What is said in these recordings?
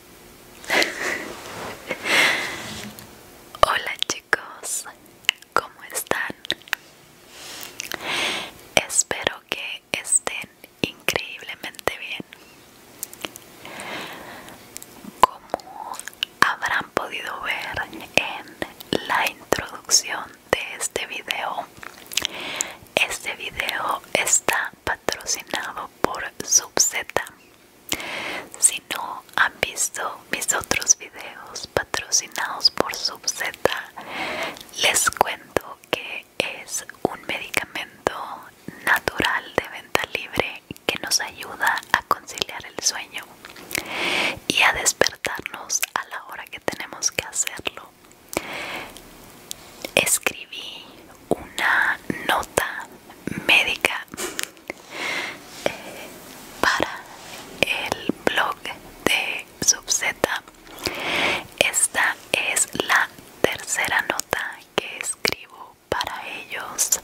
Hola chicos, ¿cómo están? Espero que estén increíblemente bien. Como habrán podido ver en la introducción de este video, este video está patrocinado por sub Z. Si no han visto mis otros videos patrocinados por sub Z, les cuento que es un medicamento natural de venta libre que nos ayuda a conciliar el sueño y a despertarnos a la hora que tenemos que hacerlo. Escribí una nota médica eh, para el blog de Subzeta. Esta es la tercera nota que escribo para ellos.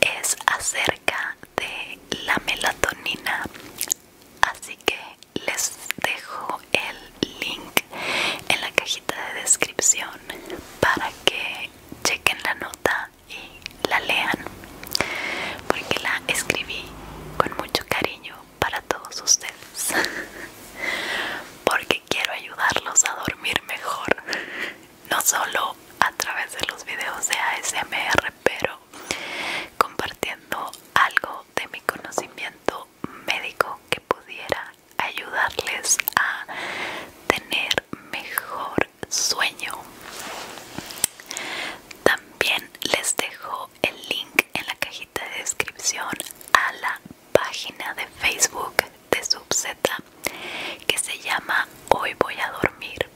Es acerca de la melatonina. Así que les dejo el link en la cajita de descripción para que chequen la nota y la lean porque la escribí con mucho cariño para todos ustedes porque quiero ayudarlos a dormir mejor no solo a través de los videos de ASMR pero compartiendo algo de mi conocimiento médico que pudiera ayudarles a tener mejor sueño. También les dejo el link en la cajita de descripción a la página de Facebook de SubZ que se llama Hoy voy a dormir.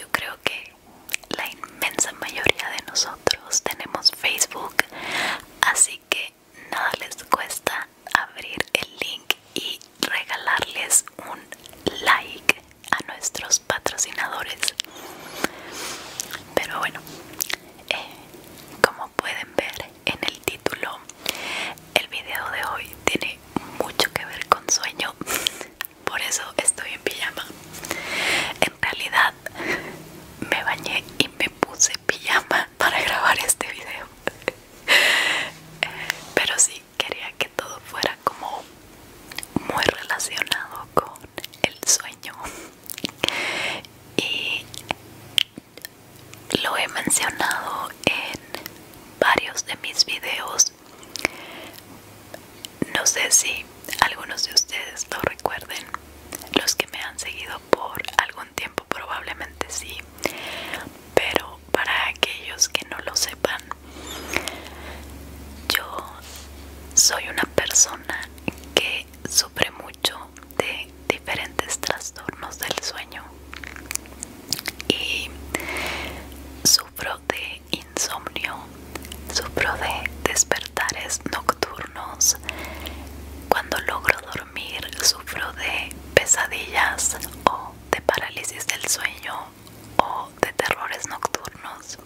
Yo creo que la inmensa mayoría de nosotros tenemos Facebook, así que nada les cuesta abrir el link y regalarles un like a nuestros patrocinadores pero bueno eh, como pueden ver en el título el video de hoy tiene mucho que ver con sueño por eso estoy en pijama en realidad me bañé y me puse pijama para grabar este video pero sí quería que todo fuera como muy relacionado con el sueño y lo he mencionado en varios de mis videos no sé si algunos de ustedes lo recuerden los que me han seguido por algún tiempo probablemente sí pero para aquellos que no lo sepan yo soy una persona que sufre mucho de diferentes trastornos del sueño y sufro de insomnio sufro de despertares nocturnos cuando logro dormir dormir sufro de pesadillas o de parálisis del sueño o de terrores nocturnos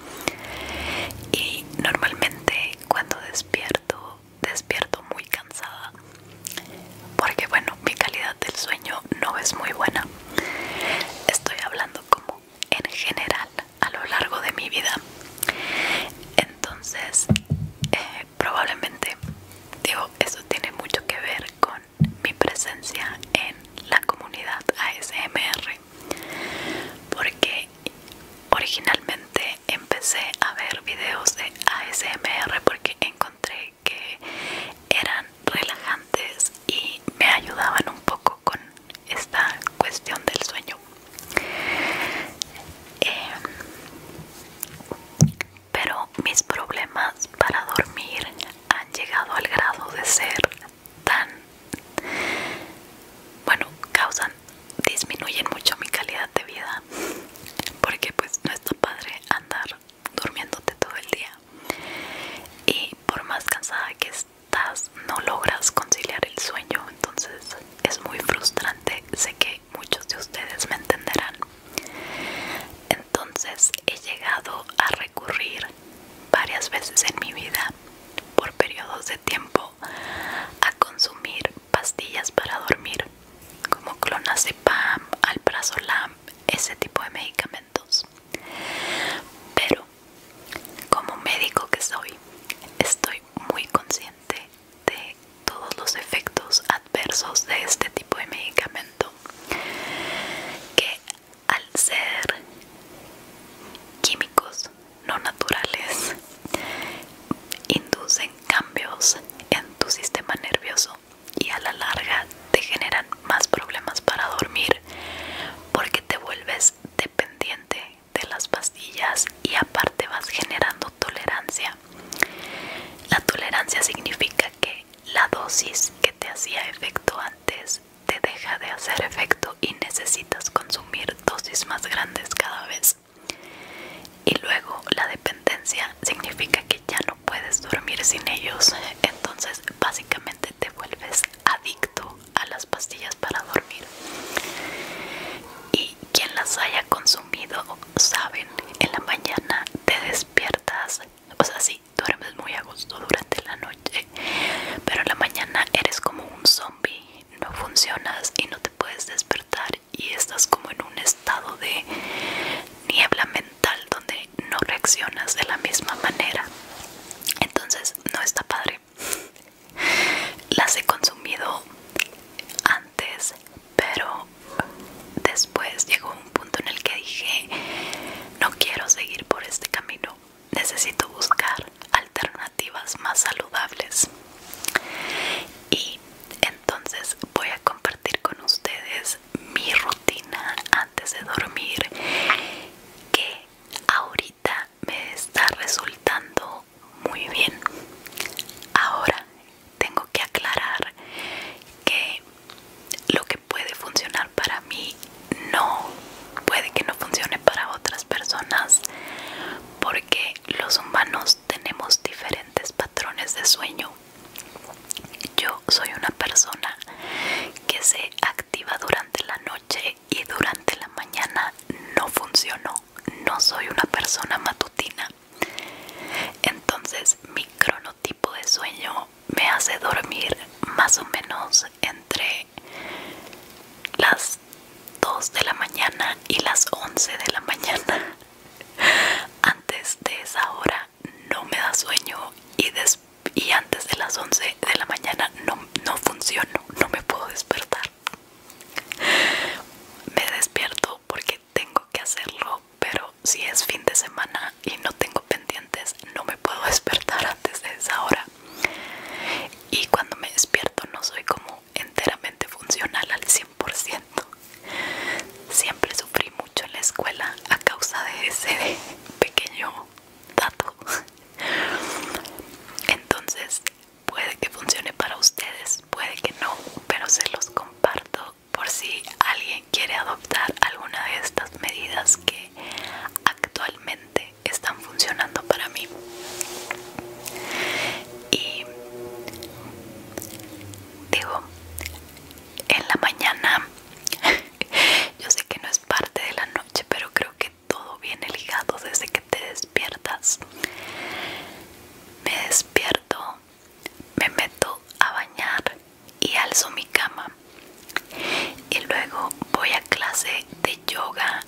y normalmente cuando despierto despierto muy cansada porque bueno mi calidad del sueño no es muy buena estoy hablando como en general a lo largo de mi vida entonces eh, probablemente digo eso tiene mucho que ver con mi presencia en la comunidad ASMR porque originalmente empecé a ver videos de ASMR porque encontré que eran relajantes y me ayudaban un poco con esta cuestión del sueño em, pero mis problemas para dormir han llegado al grado de ser tan... Bueno, causan, disminuyen mucho mi calidad de vida. Porque pues no está padre andar durmiéndote todo el día. Y por más cansada que estás no logras conciliar el sueño entonces es muy frustrante, sé que muchos de ustedes me entenderán. Entonces he llegado a recurrir varias veces en mi vida por periodos de tiempo a consumir pastillas para dormir como clonazepam, alprazolam, ese tipo de medicamentos. Pero como médico que soy, estoy muy consciente de todos los efectos adversos de este tipo de medicamento que al ser químicos no naturales inducen cambios en tu sistema nervioso y a la larga te generan más problemas para dormir porque te vuelves dependiente de las pastillas y aparte vas generando tolerancia la tolerancia significa que la dosis que te hacía efecto antes te deja de hacer efecto y necesitas consumir dosis más grandes cada vez. Y luego la dependencia significa que ya no puedes dormir sin ellos, entonces básicamente te vuelves adicto a las pastillas para dormir. Y quien las haya consumido sabe en la mañana te despiertas o sea sí duermes muy a gusto durante la noche pero en la mañana eres como un zombie no funcionas y no te puedes despertar y estás como en un estado de niebla mental donde no reaccionas de la misma manera entonces no está padre las he consumido antes pero después llegó un punto en el que dije, no quiero seguir por este camino, necesito buscar alternativas más saludables. Y entonces voy a compartir con ustedes mi rutina antes de dormir que ahorita me está resultando muy bien. Ahora tengo que aclarar que lo que puede funcionar para mí no puede que no funcione para otras personas porque los humanos tenemos diferentes patrones de sueño. Yo soy una persona que se activa durante la noche y durante la mañana no funcionó. No soy una persona matutina. Entonces mi cronotipo de sueño me hace dormir más o menos entre las 2 de la mañana y las 11 de la mañana. Antes de esa hora no me da sueño y, antes de las 11 de la mañana no, no funciono, no me puedo despertar. Me despierto porque tengo que hacerlo, pero si es fin de semana y no tengo pendientes, no me puedo despertar antes de esa hora. Y cuando me despierto no soy como enteramente funcional al 100%. Siempre sufrí mucho en la escuela a causa de ese pequeño dato. Entonces Puede que funcione para ustedes, puede que no, pero se los comparto por si alguien quiere adoptar alguna de estas medidas que actualmente están funcionando para mí. Y digo, en la mañana, yo sé que no es parte de la noche, pero creo que todo viene ligado desde que te despiertas. Me despierto me meto a bañar y alzo mi cama. Y luego voy a clase de yoga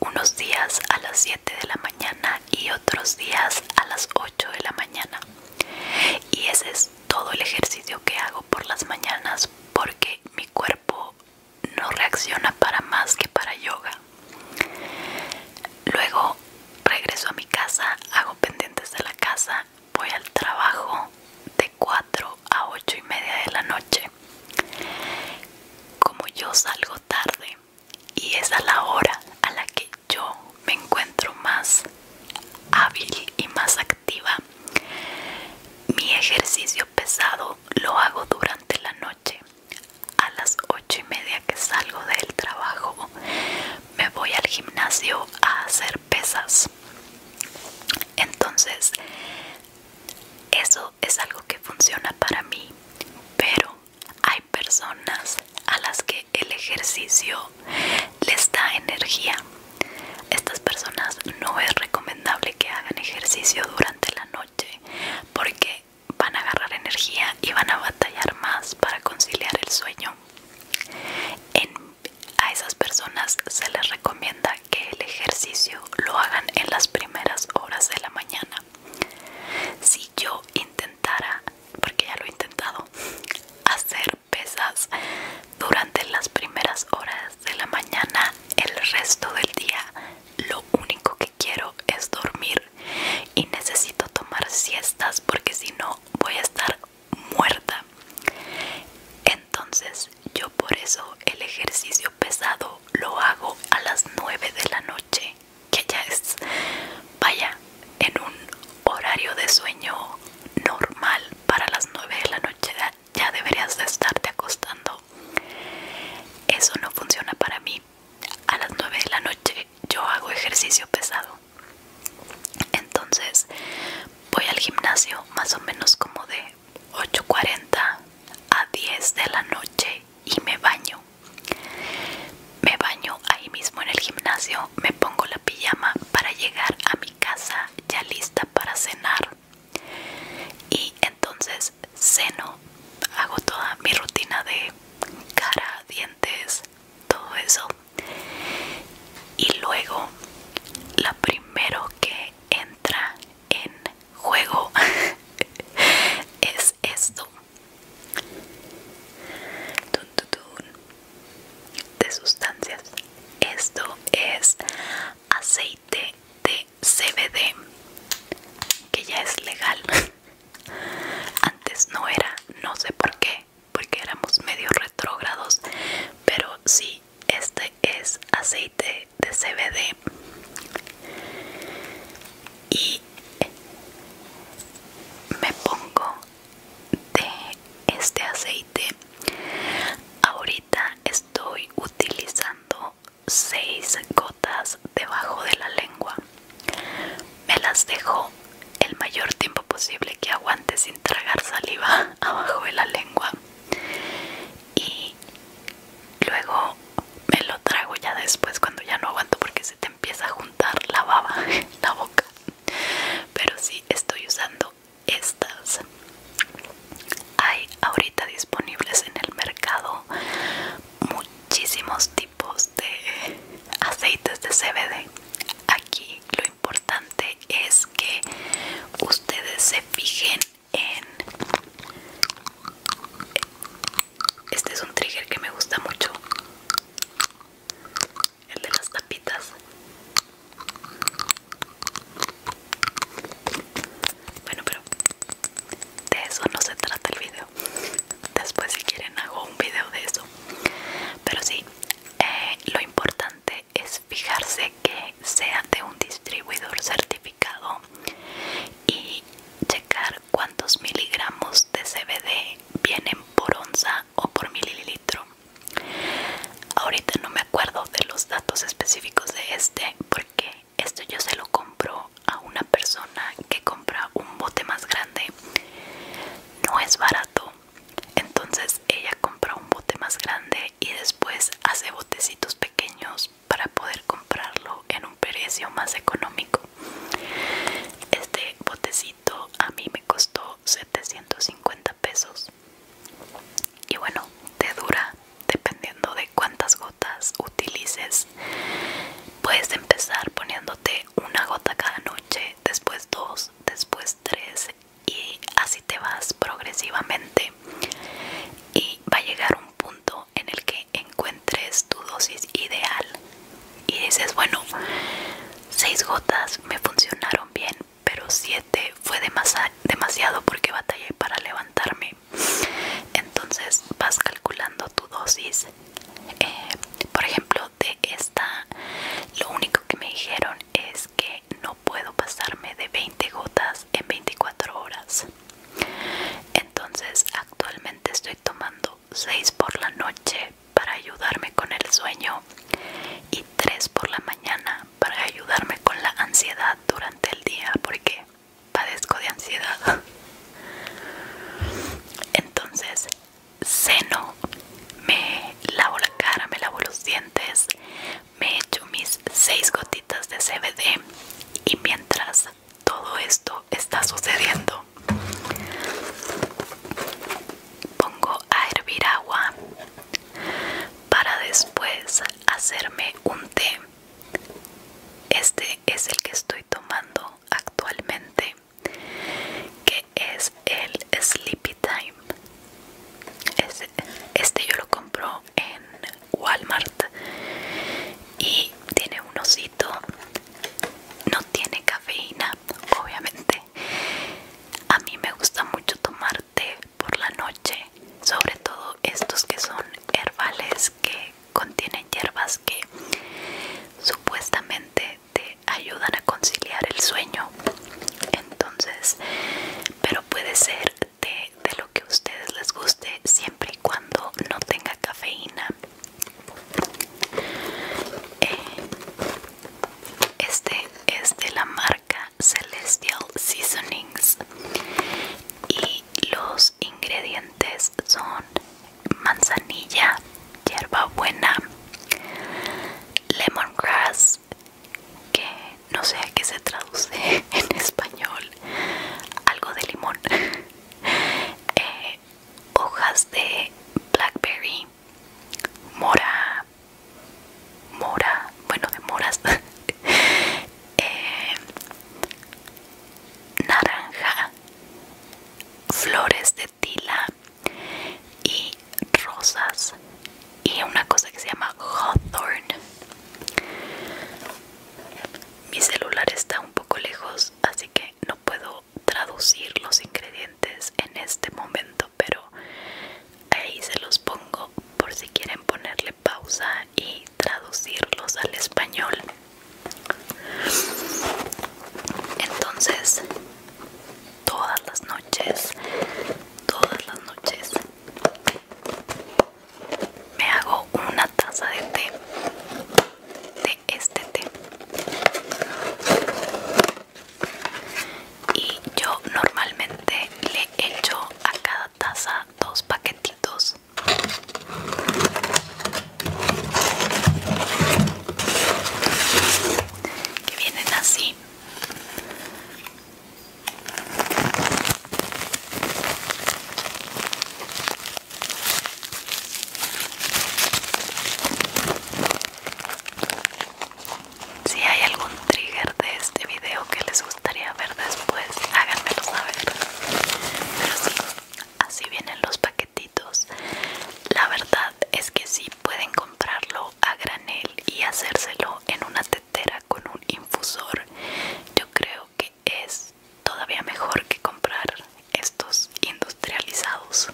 unos días a las 7 de la mañana y otros días a las 8 de la mañana. Y ese es todo el ejercicio que hago por las mañanas porque mi cuerpo no reacciona para más que para yoga. Luego regreso a mi casa, hago pendientes de la casa, voy al trabajo de 4 a 8 y media de la noche. Como yo salgo tarde y es a la hora a la que yo me encuentro más hábil y más activa, mi ejercicio pesado lo hago durante la noche a las ocho y media que salgo del trabajo, me voy al gimnasio a hacer pesas. Entonces, eso es algo que funciona para mí, pero hay personas a las que el ejercicio les da energía. Estas personas no es recomendable que hagan ejercicio durante la noche porque van a agarrar energía y van a batallar más para conciliar el sueño. a esas personas se les recomienda que el ejercicio lo hagan en las primeras horas de la mañana. Si yo intentara, porque ya lo he intentado, hacer pesas durante las primeras horas de la mañana, el resto del día, lo único que quiero es dormir y necesito tomar siestas porque si no voy a estar muerta. Entonces yo por eso el ejercicio pesado lo hago a las 9 de la noche, que ya es, vaya, en un horario de sueño normal para las 9 de la noche ya deberías de estarte acostando. Eso no funciona para mí a las 9 de la noche yo hago ejercicio pesado. Entonces voy al gimnasio más o menos como de 8.40 a 10 de la noche y me baño. Me baño ahí mismo en el gimnasio, me pongo la pijama para llegar a mi casa ya lista para cenar. Y entonces ceno, hago toda mi rutina de cara, dientes, todo eso. Y luego la primero que entra en juego es esto. De sustancias. Esto es aceite de CBD, que ya es legal. Antes no era, no sé por qué, porque éramos medio retrógrados, pero sí, este es aceite de CBD y me pongo de este aceite. Ahorita estoy utilizando 6 gotas debajo de la lengua me las dejo el mayor tiempo posible que aguante sin tragar saliva abajo de la lengua y luego me lo trago ya después cuando ya no aguanto porque se te empieza a juntar la baba en la boca. Pero sí estoy usando estas. Hay ahorita disponibles en el mercado muchísimos tipos de aceites de CBD. Aquí lo importante es que ustedes se fijen en... Este es un trigger que me gusta mucho. El de las tapitas. Bueno, pero de eso no se trata el video después si quieren hago un video de eso pero sí eh, lo importante es fijarse que sea de un distribuidor certificado y checar cuántos miligramos de CBD vienen por onza o por mililitro ahorita no me acuerdo de los datos específicos de este porque esto yo se lo compro a una persona que compra un bote más grande no es barato entonces ella compra un bote más grande y después hace botecitos pequeños para poder comprarlo en un precio más económico este botecito a mí me costó 750 pesos y bueno te dura dependiendo de cuántas gotas utilices puedes empezar poniéndote una gota cada noche después dos después tres y así te vas progresivamente y va a llegar un punto en el que encuentres tu dosis ideal y dices bueno seis gotas me funcionaron bien pero siete fue demasiado porque batallé para levantarme entonces vas calculando tu dosis eh, por ejemplo de esta lo único que me dijeron es que no puedo pasarme de 20 gotas en 24 horas entonces actualmente estoy tomando 6 por la noche para ayudarme con el sueño y 3 por la mañana para ayudarme con la ansiedad durante el día porque padezco de ansiedad. Entonces, ceno, me lavo la cara, me lavo los dientes, me echo mis seis gotitas de CBD y mientras todo esto está sucediendo, pongo a hervir agua para después hacerme un té. Este es el que estoy tomando actualmente que es el Sleepy Time este, yo lo compro en Walmart y tiene un osito no tiene cafeína obviamente a mí me gusta mucho tomar té por la noche sobre todo estos que son herbales que contienen hierbas que supuestamente te ayudan a conciliar el sueño entonces pero puede ser de, lo que a ustedes les guste siempre y cuando no tenga cafeína eh, este es de la marca Celestial Seasonings y los ingredientes son manzanilla, hierbabuena, lemongrass, que no sé a qué se traduce en español, algo de limón, eh, hojas de blackberry, mora, mora, bueno de moras, eh, naranja flores de tila y rosas y una cosa que se llama hawthorn. Mi celular está un poco lejos, así que no puedo traducir los ingredientes en este momento, pero ahí se los pongo por si quieren ponerle pausa y traducirlos al español. Entonces, todas las noches, todas las noches, me hago una taza de té, de este té. Y yo normalmente le echo a cada taza dos paquetitos que vienen así si hay algún trigger de este video que les gustaría ver después, háganmelo saber. Pero sí, así vienen los paquetes. La verdad es que si pueden comprarlo a granel y hacérselo en una tetera con un infusor. Yo creo que es todavía mejor que comprar estos industrializados.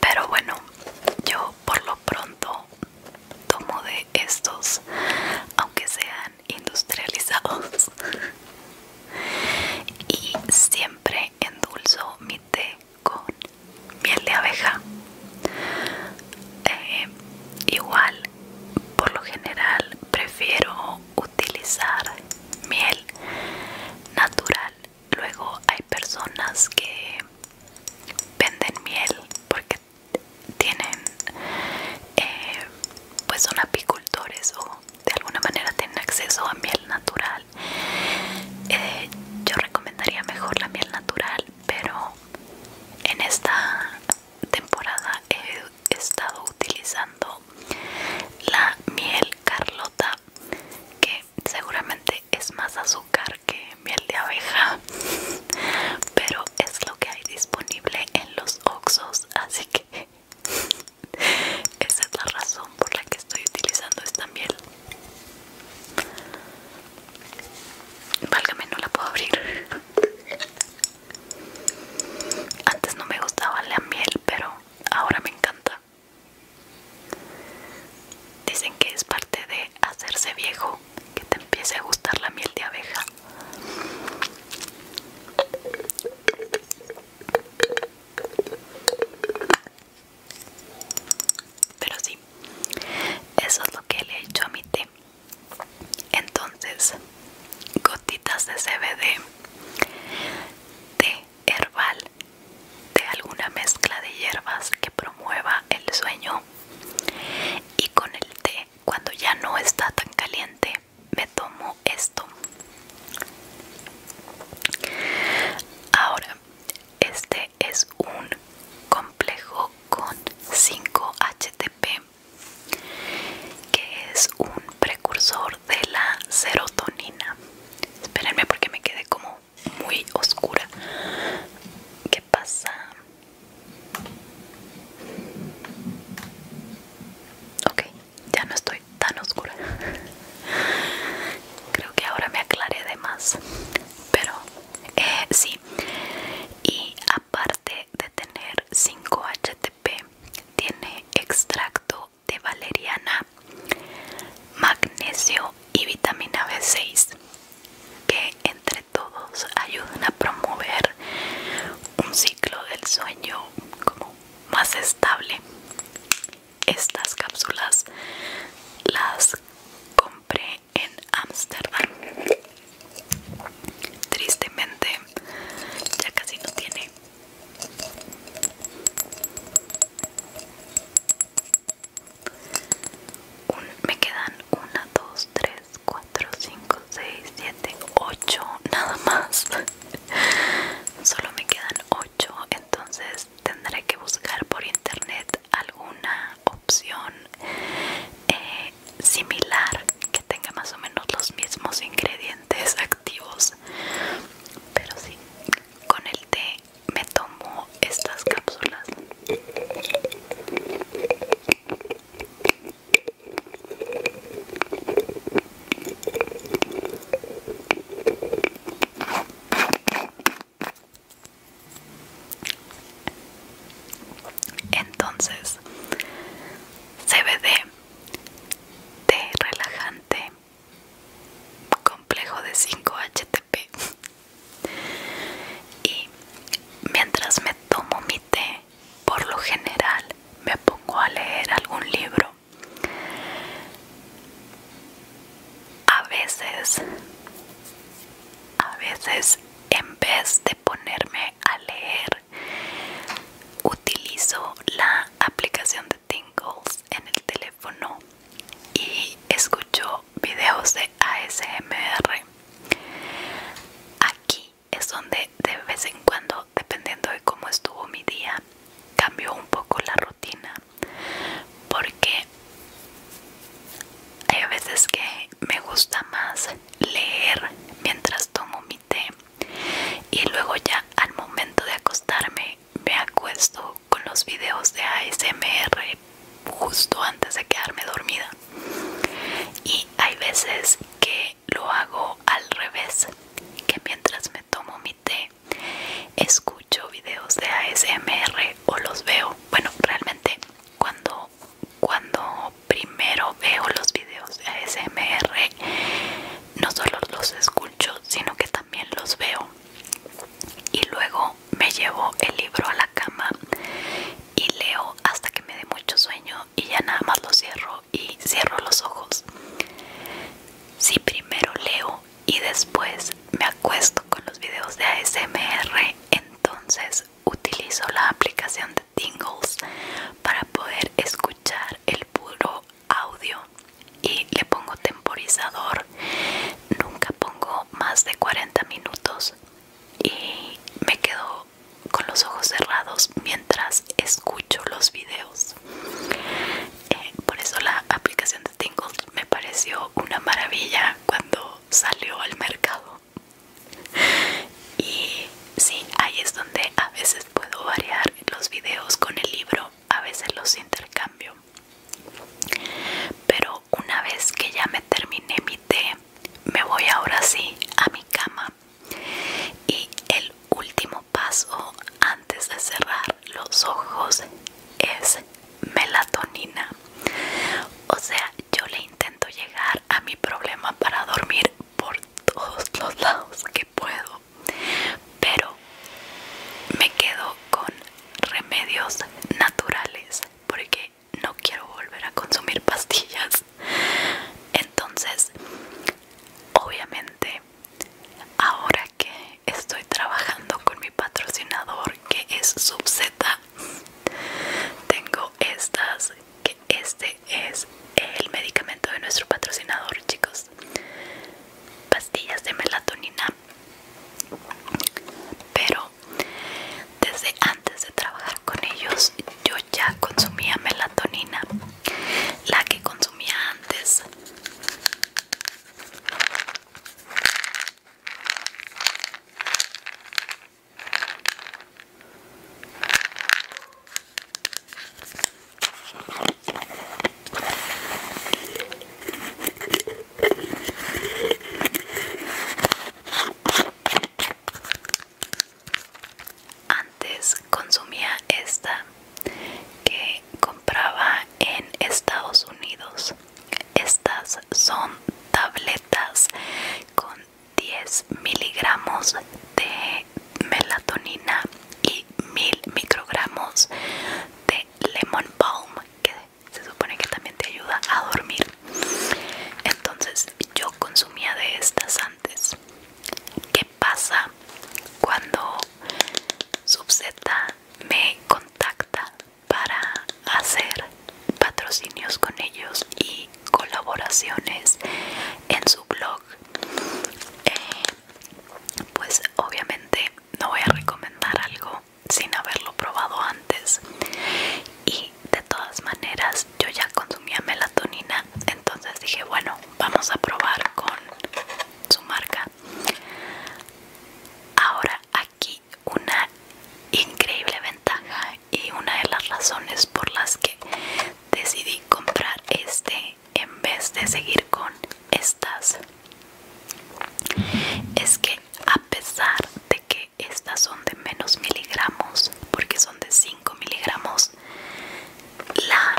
Pero bueno, yo por lo pronto tomo, de estos, aunque sean industrializados. y siempre endulzo mi té con miel de abeja. Eh, igual, por lo general, prefiero utilizar miel natural. Luego hay personas que venden miel porque tienen eh, pues son apicultores o de alguna manera tienen acceso a miel natural eh, yo recomendaría mejor la miel natural pero en esta temporada he estado utilizando la miel carlota que seguramente es más azúcar que miel de abeja pero es lo que hay disponible en los oxos así que esa es la razón por la que estoy utilizando esta miel válgame no la puedo abrir antes no me gustaba la miel pero ahora me encanta Dicen que es parte de hacerse viejo, que te empiece a gustar la miel de abeja. Pero sí, eso es lo que le he hecho a mi té. Entonces, gotitas de CBD, té herbal, de alguna mezcla de hierbas que promueva el sueño y con el té cuando ya no está tan caliente me tomo esto ahora este es un complejo con 5 htp que es un precursor de la serotonina espérenme porque me quedé como muy oscura qué pasa Ok, ya no estoy tan oscura. Creo que ahora me aclaré de más. Pero eh, sí. Y aparte de tener 5-HTP, tiene extracto de valeriana, magnesio y vitamina B6, que entre todos ayudan a promover un ciclo del sueño como más estable. Estas cápsulas las compré en Ámsterdam. Tristemente ya casi no tiene. me quedan una, dos, 3, 4, 5, 6, 7, 8 nada más solo me quedan 8 entonces tendré que buscar por internet alguna opción eh, similar que tenga más o menos los mismos ingredientes activos pero sí con el té me tomo estas cápsulas entonces, CBD, de relajante, complejo de 5 HTP. Y mientras me tomo mi té, por lo general me pongo a leer algún libro. A veces, a veces en vez de ponerme a leer, utilizo la aplicación de Tingles en el teléfono y escucho videos de ASMR aquí es donde de vez en cuando, dependiendo de cómo estuvo mi día, cambio un poco la rutina. Porque hay veces que me gusta más leer mientras tomo mi té. Y luego ya al momento de acostarme me acuesto con los videos de ASMR justo antes de quedarme dormida y hay veces que lo hago al revés que mientras me tomo mi té escucho videos de ASMR o los veo bueno realmente cuando cuando primero veo los videos de ASMR no solo los escucho sino que también los veo y luego me llevo el libro a la cama y leo hasta que me dé mucho sueño y ya nada más lo cierro y cierro los ojos. Si primero leo y después me acuesto con los videos de ASMR, entonces utilizo la aplicación de Tingles para poder escuchar el puro audio y le pongo temporizador. Nunca pongo más de 40 minutos y me quedo con los ojos cerrados mientras escucho los videos. Eh, por eso la aplicación de tingles me pareció una maravilla cuando salió al mercado. Y sí, ahí es donde a veces puedo variar los videos con el libro, a veces los intercambio. Pero una vez que ya me terminé mi tema me voy ahora sí a mi cama y el último paso antes de cerrar los ojos es melatonina o sea yo le intento llegar a mi problema para dormir por todos los lados que puedo pero me quedo con remedios naturales porque no quiero volver a consumir pastillas entonces obviamente ahora que estoy trabajando con mi patrocinador que es Z tengo estas que este es el medicamento de nuestro patrocinador chicos pastillas de melatonina pero desde antes de trabajar con ellos yo ya consumía melatonina, la que consumía antes. Antes consumía esta que compraba en Estados Unidos. Estas son tabletas con 10 miligramos de melatonina y 1000 microgramos de lemon balm que se supone que también te ayuda a dormir entonces yo consumía de estas antes. ¿Qué pasa cuando Subzeta me contacta para hacer patrocinios con ellos y colaboraciones en su blog? Eh, pues obviamente no voy a recomendar algo sin haberlo probado antes y de todas maneras yo ya consumía melatonina entonces dije bueno vamos a probar con su marca ahora aquí una increíble ventaja y una de las razones por las que decidí comprar este en vez de seguir con estas es que a pesar de que estas son de menos miligramos porque son de 5 miligramos la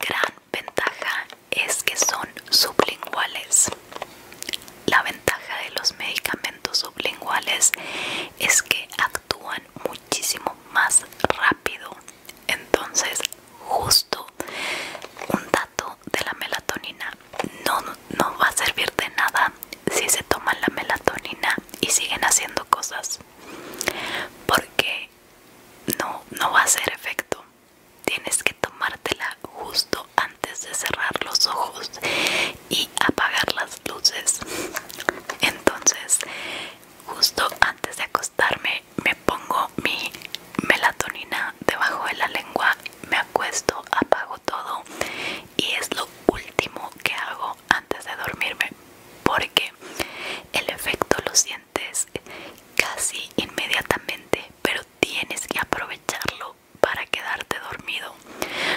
gran ventaja es que son sublinguales la ventaja de los medicamentos sublinguales es que actúan muchísimo más rápido entonces justo un dato de la melatonina no, no va a servir de nada si se toman la melatonina y siguen haciendo cosas porque no, no va a hacer efecto tienes que tomártela justo antes de cerrar los ojos y apagar las luces entonces justo antes de acostarme me pongo mi melatonina debajo de la lengua me acuesto apago todo y es lo último que hago antes de dormirme porque el efecto lo sientes casi inmediatamente pero tienes que aprovecharlo para quedarte dormido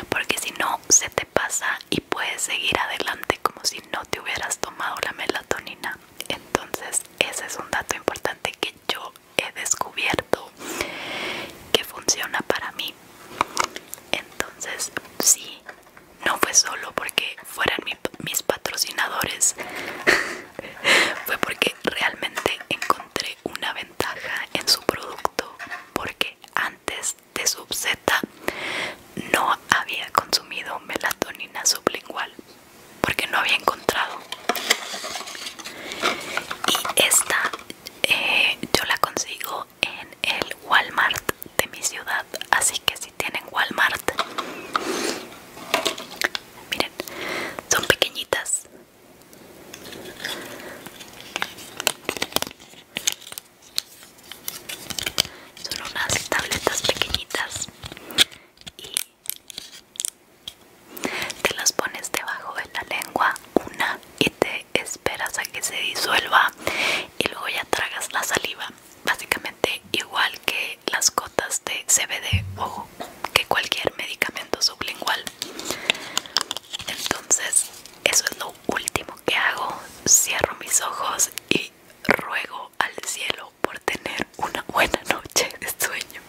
porque si no se te pasa y puedes seguir adelante como si no te hubieras tomado la melatonina entonces ese es un dato importante que yo he descubierto que funciona para mí entonces, sí, no fue solo porque fueran mis patrocinadores, fue porque realmente encontré una ventaja en su producto, porque antes de Z no había consumido melatonina sublingual, porque no había encontrado. Y esta eh, yo la consigo en el Walmart de mi ciudad así que si tienen Walmart miren son pequeñitas son unas tabletas pequeñitas y te las pones debajo de la lengua una y te esperas a que se disuelva y luego ya tragas la saliva. Básicamente igual que las gotas de CBD o que cualquier medicamento sublingual. Entonces eso es lo último que hago. Cierro mis ojos y ruego al cielo por tener una buena noche de sueño.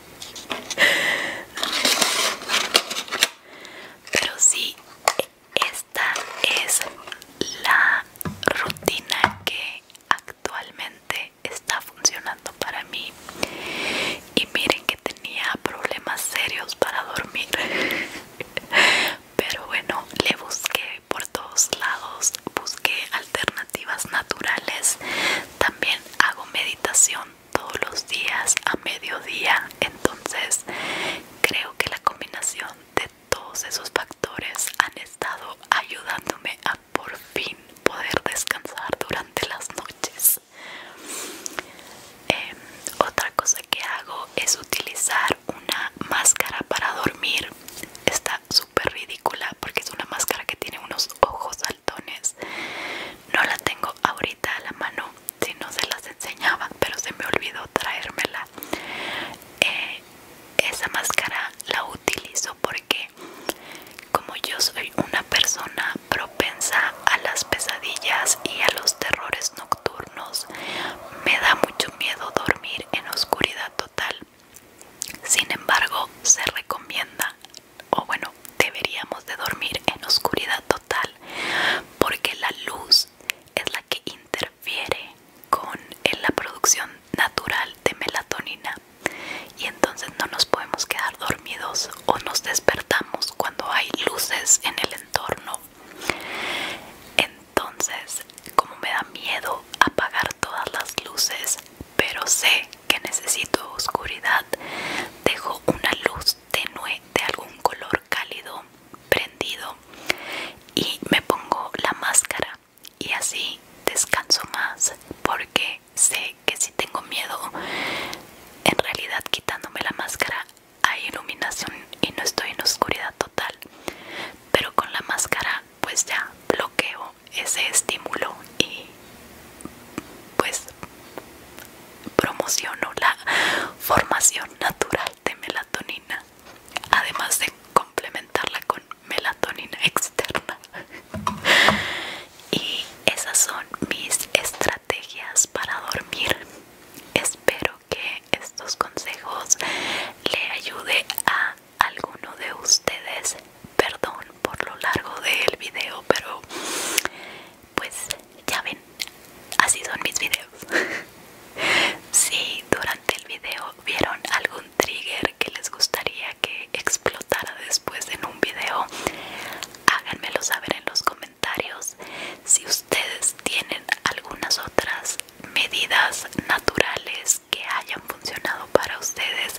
Pero sí, esta es la rutina que actualmente está funcionando para mí. Y miren que tenía problemas serios para dormir. Pero bueno, le busqué por todos lados, busqué alternativas naturales. También hago meditación todos los días a mediodía entonces creo que la combinación de todos esos factores han estado ayudándome a por fin poder descansar durante las noches em, otra cosa que hago es utilizar una máscara para dormir está súper ridícula porque es una máscara que tiene unos ojos saltones no la tengo ahorita a la mano si no se las enseñaba pero se me olvidó traérmela eh, esa máscara la utilizo porque como yo soy una persona propensa a las pesadillas y a los terrores nocturnos me da mucho miedo dormir en oscuridad total sin embargo se recomienda o bueno deberíamos de dormir en oscuridad total porque la luz es la que interfiere con la producción natural de melatonina y entonces no nos podemos quedar dormidos o nos despertamos cuando hay luces en el entorno entonces como me da miedo apagar todas las luces pero sé que necesito oscuridad dejo una luz tenue de algún color cálido prendido y me pongo la máscara y así descanso más porque sé que si tengo miedo en realidad quitándome la máscara hay iluminación y no estoy en oscuridad total pero con la máscara pues ya bloqueo ese estímulo y pues promociono la formación natural de melatonina, además de complementarla con melatonina externa. Y esas son mis estrategias para dormir. Espero que estos consejos le ayude a alguno de ustedes. Perdón por lo largo del video, pero pues ya ven, así son mis videos. si durante el video vieron algún trigger que les gustaría que explotara después en un video, háganmelo saber en los comentarios. Si ustedes tienen algunas otras medidas naturales que hayan funcionado para ustedes,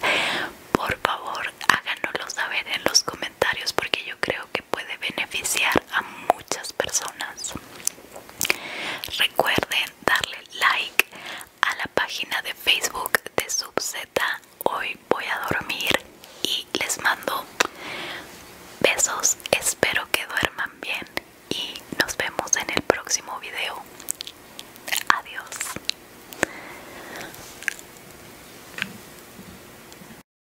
por favor háganoslo saber en los comentarios porque yo creo que puede beneficiar a muchas personas. Recuerden darle like a la página de Facebook de SubZ, Hoy voy a dormir y les mando besos. Espero que duerman bien y nos vemos en el próximo video. Adiós.